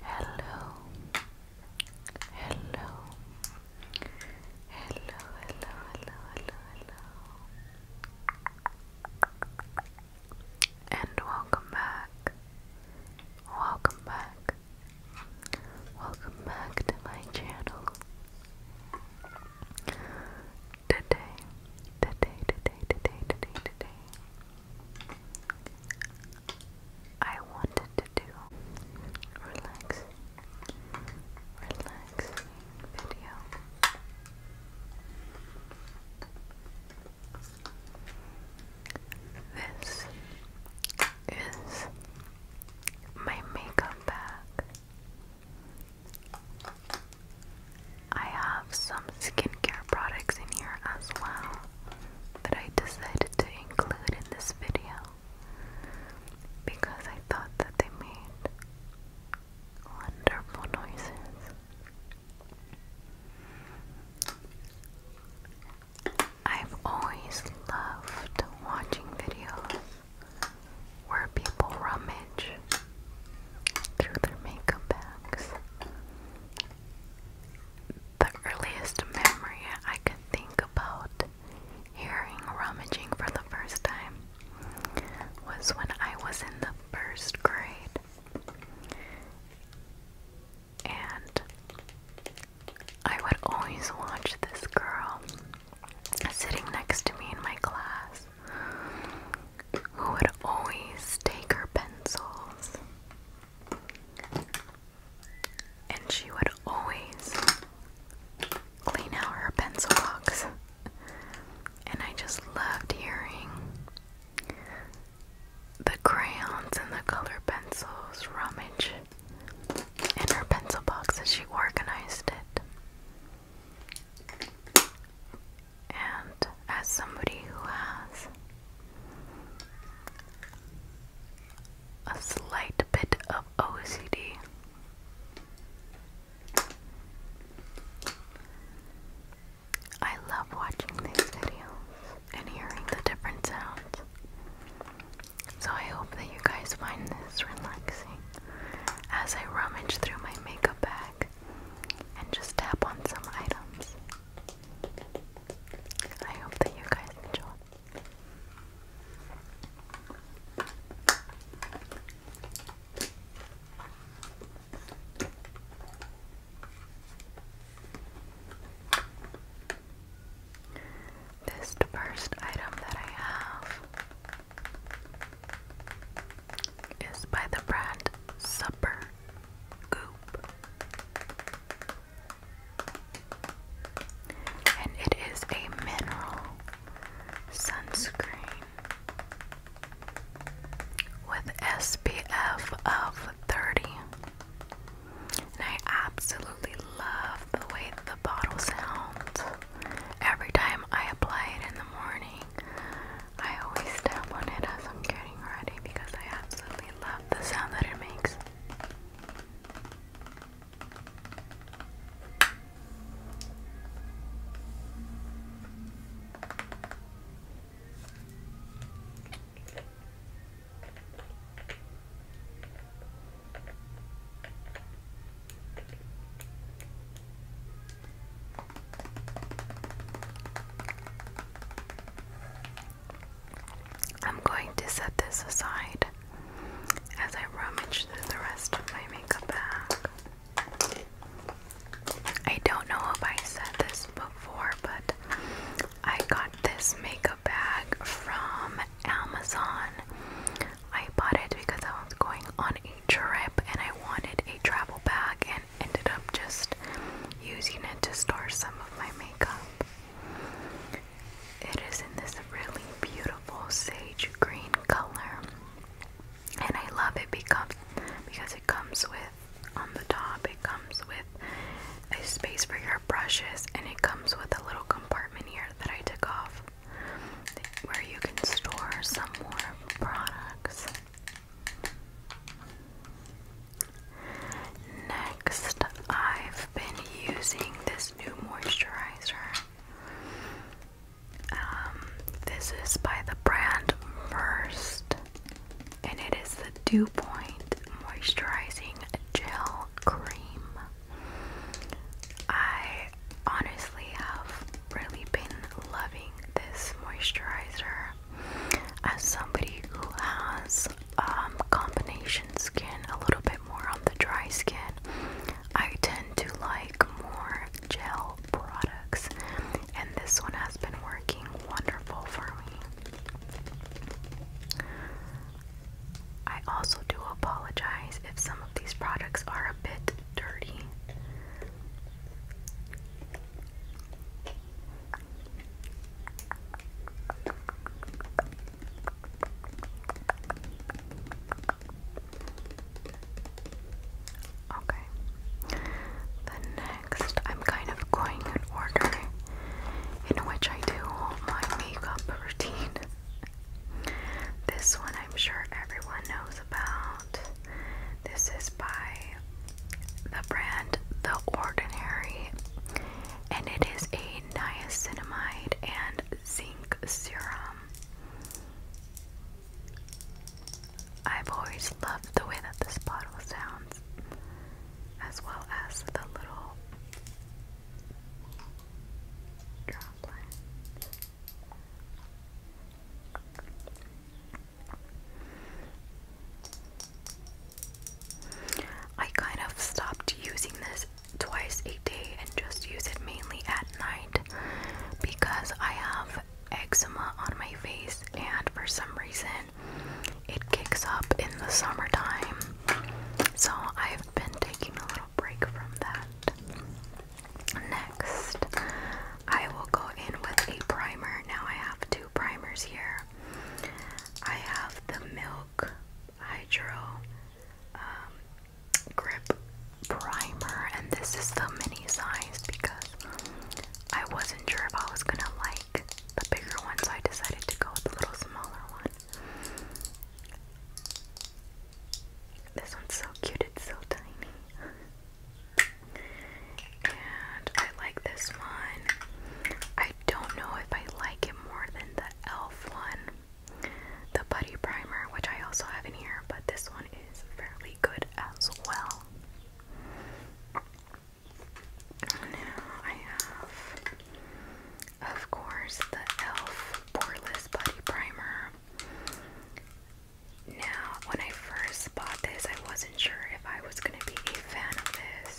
Hello, hello, hello, hello, hello, hello, hello, and welcome back, welcome back, welcome back to my channel. Today, today, today, today, today, today, I wanted to do relax, relax video. This is my makeup bag. I have some skincare products in here as well that I decided to include in this video because I thought that they made wonderful noises. I've always loved watching videos where people rummage through their makeup bags the earliest memory I could think about hearing rummaging for the first time was when I was in the first grade. And I would always watch this girl sitting next to me in my class who would always take her pencils. And she would always clean out her pencil box. And I just loved hearing the crayons and the color pencils rummage in her pencil box as she organized it and as somebody who has a slight bit of OCD, I love watching these videos and hearing the different sounds. So I hope that you guys find this relaxing as I rummage through my makeup bag and just tap on some items. I hope that you guys enjoy. This first item that I have is by the brand Supper And it is a mineral sunscreen with SPF of 30. And I absolutely love the way the bottle sounds. Every time I apply it in the morning, I always tap on it as I'm getting ready because I absolutely love the sound that it makes. I'm going to set this aside as I rummage through the rest of my makeup bag. I don't know if I said this before, but I got this makeup bag from Amazon. I bought it because I was going on a trip and I wanted a travel bag and ended up just using it to store some of my makeup. It is in this really beautiful sage green color, and I love it because because it comes with on the top it comes with a space for your brushes, and it comes with a little compartment here that I took off where you can store some more products. Next, I've been using this new moisturizer. Um, this is by the brand First, and it is the Dew Point Moisturizing Gel Cream. I honestly have really been loving this moisturizer as somebody who has um, combination skin, a little bit more on the dry skin, I tend to like more gel products, and this one has been working wonderful for me. I also do apologize if some of these products are a bit dirty. Okay. Then next, I'm kind of going in order in which I do my makeup routine. This one I'm sure everyone knows about. This is by the brand The Ordinary, and it is a niacinamide and zinc serum. I've always loved the way that this bottle sounds, as well as the little droplet. I kind of stopped using this twice a day and just use it mainly at night because I have eczema on my face and for some reason it kicks up in the summertime. So I've been taking a little break from that. Next, I will go in with a primer. Now I have two primers here. I have the Milk Hydro um, Grip Primer, and this is the mini size because I wasn't sure if I was gonna like the bigger ones. I decided to go with the little smaller one. This one's so cute, it's so tiny and I like this one. I don't know if I like it more than the e.l.f. one, the Buddy Primer, which I also have in here, but this one is fairly good as well. Now I have, of course, the e.l.f. Poreless Buddy Primer. Now, when I first bought this, I wasn't sure if I was going to be a fan of this.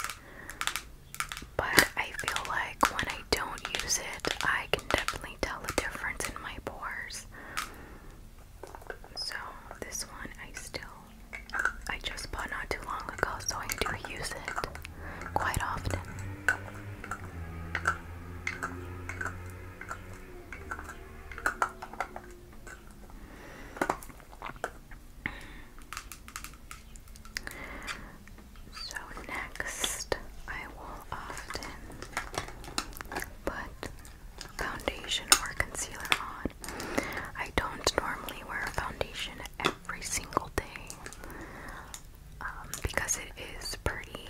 But I feel like when I don't use it, I can definitely tell a difference in my pores. So, this one I still, I just bought not too long ago, so I do use it quite often. So, next, I will often put foundation or concealer on. I don't normally wear a foundation every single day um, because it is pretty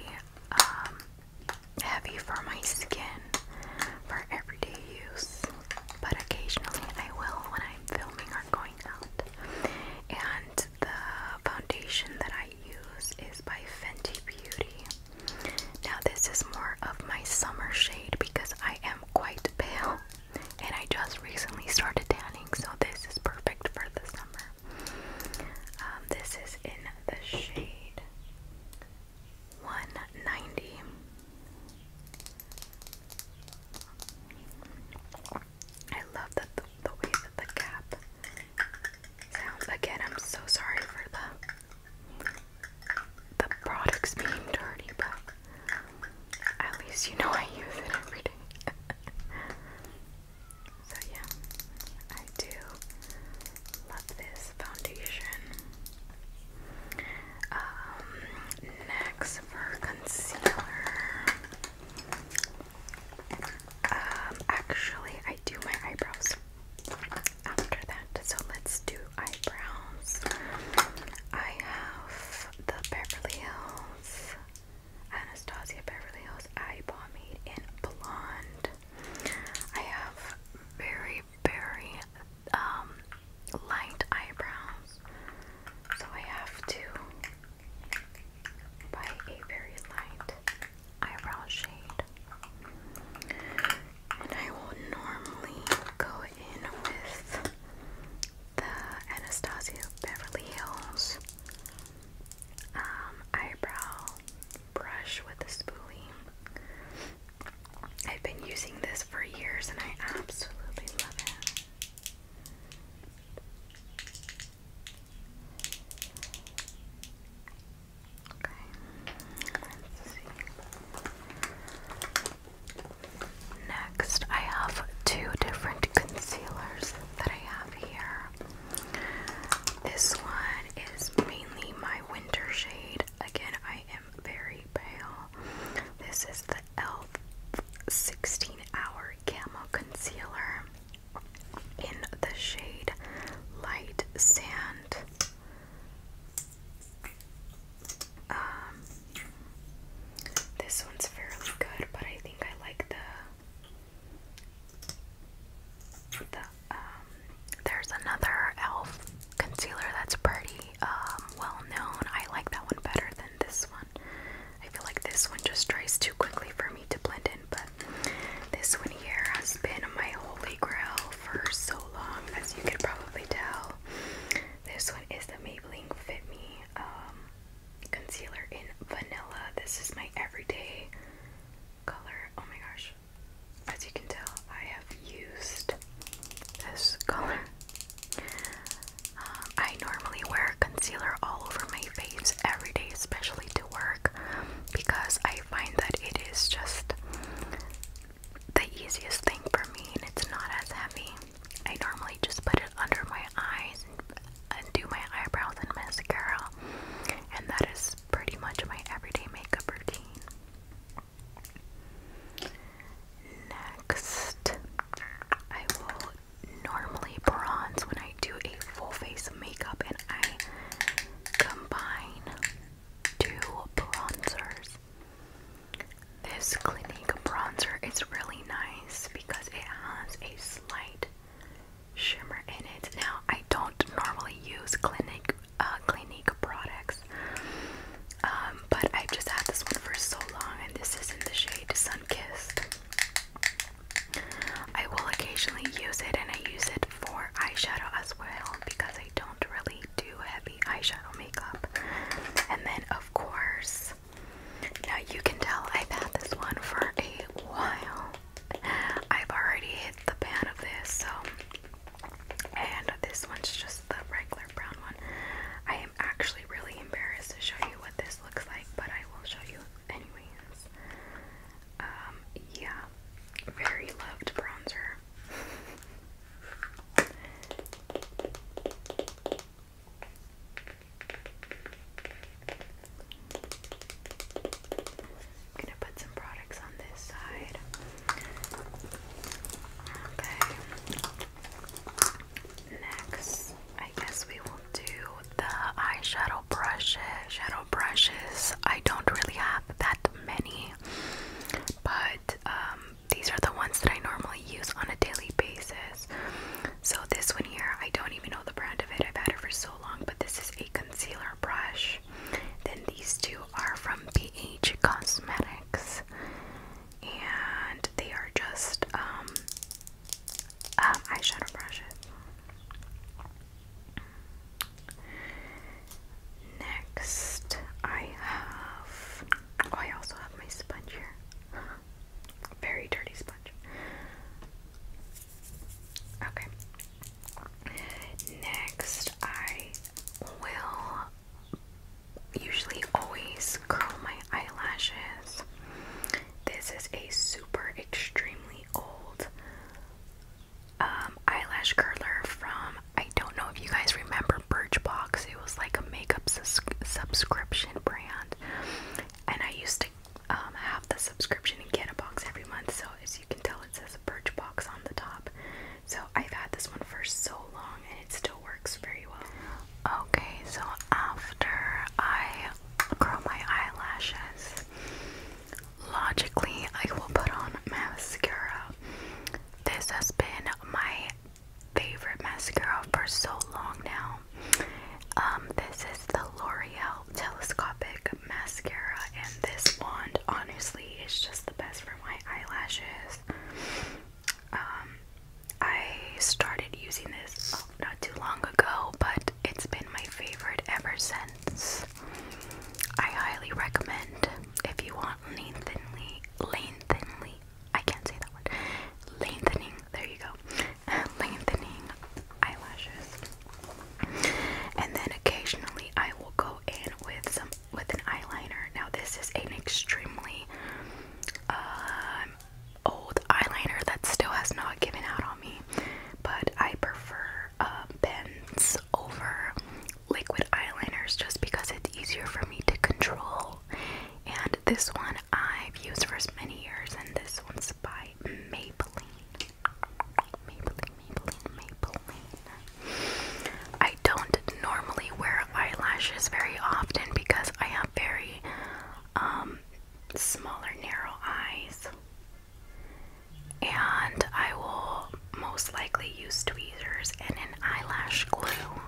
um, heavy for my skin for everyday use, but occasionally I will when I'm filming or going out. And the foundation that I use is by Fenty Beauty. Now, this is more of my summer shade because I am quite pale and I just recently started tanning, so this is perfect for the summer. Um, this is in the shade 190 I love that the, the way that the cap sounds again I'm so sorry for the the products being dirty but at least you know I use it every day so yeah I do Love this foundation. Um, next for concealer. Um, actually, I do my eyebrows after that, so let's do eyebrows. I have the Beverly Hills, Anastasia Beverly Hills Eye Pomade in Blonde. I have very, very um, light eyebrows, so I have to buy a very light eyebrow shade. And I will normally go in with the Anastasia Beverly Hills um, eyebrow brush with a spoolie. I've been using this for years and I absolutely love it. Okay, let's see. Next, I have two different concealers that I have here. This one is mainly my winter shade. Again, I am very pale. This is the e.l.f. 16 Hour Camo Concealer in the shade Light Sand. Um, this one's fairly good, but I think I like the the um, there's another e.l.f. concealer that's pretty um, well known. I like that one better than this one. I feel like this one just dries too quickly for me to blend in, but this one here has been my holy grail for so long, as you can probably tell. This one is the Maybelline Fit Me um, concealer in vanilla. This is my everyday color. Oh my gosh. As you can tell, I have used this color. Um, I normally wear concealer all over my face every day, especially to work, because I find that it is just the easiest thing for me and it's not as heavy. I normally just put it under my eyes and, and do my eyebrows and mascara, and that is pretty much my everyday makeup routine. Next, I will normally bronze when I do a full face of makeup and I combine two bronzers. This Clinique bronzer is really nice because it has a slight shimmer in it. Now, I don't normally use Clinique uh, Clinique products, um, but I've just had this one for so long, and this is in the shade Sunkissed. I will occasionally use it, and I use it for eyeshadow as well because I don't really do heavy eyeshadow makeup. And then, of course, now you can tell I've had this one for a while. I've already hit the pan of this, so and this one's just the regular brown one. I am actually really embarrassed to show you what this looks like, but I will show you anyways. Um, yeah, very loved bronzer. I'm gonna put some products on this side. Okay. Next, I guess we will do the eyeshadow brushes. Shadow brushes. I don't really have that many, but um, these are the ones that I normally use on a daily basis. So this one here, I don't even know the brand of it. I've had it for so long, but this is a concealer brush. Then these two are from BH Cosmetics, and they are just um, um eyeshadow brushes. Next, I have. Oh, I also have my sponge here. Very dirty sponge. Okay. Next, I will usually always curl my eyelashes. This is a super extremely old um, eyelash curler from, I don't know if you guys remember Birchbox. It was like a makeup sus subscription brand. And I used to um, have the subscription and get a box every month. So as you can tell, it says Birch Box on the top. So I've had this one for so long and it still works very well. Okay, so after I curl my eyelashes, logically I will put on mascara. This has been my favorite mascara for so long now. Um, this is the L'Oreal Telescopic mascara and this wand honestly is just the best for my eyelashes. Um, I started using this oh, not too long ago, but it's been my favorite ever since. I highly recommend if you want lengthenly lengthenly I can't say that word. Lengthening, there you go. Lengthening eyelashes. And then occasionally I will go in with some with an eyeliner. Now this is an extremely um, old eyeliner that still has not given out on me, but I prefer uh, pens over liquid eyeliners just because it's easier for me to control. And this one I've used for as many years, and this one's by Maybelline. I don't normally wear eyelashes very often because I have very um, smaller, narrow eyes, and I will most likely use tweezers and an eyelash glue.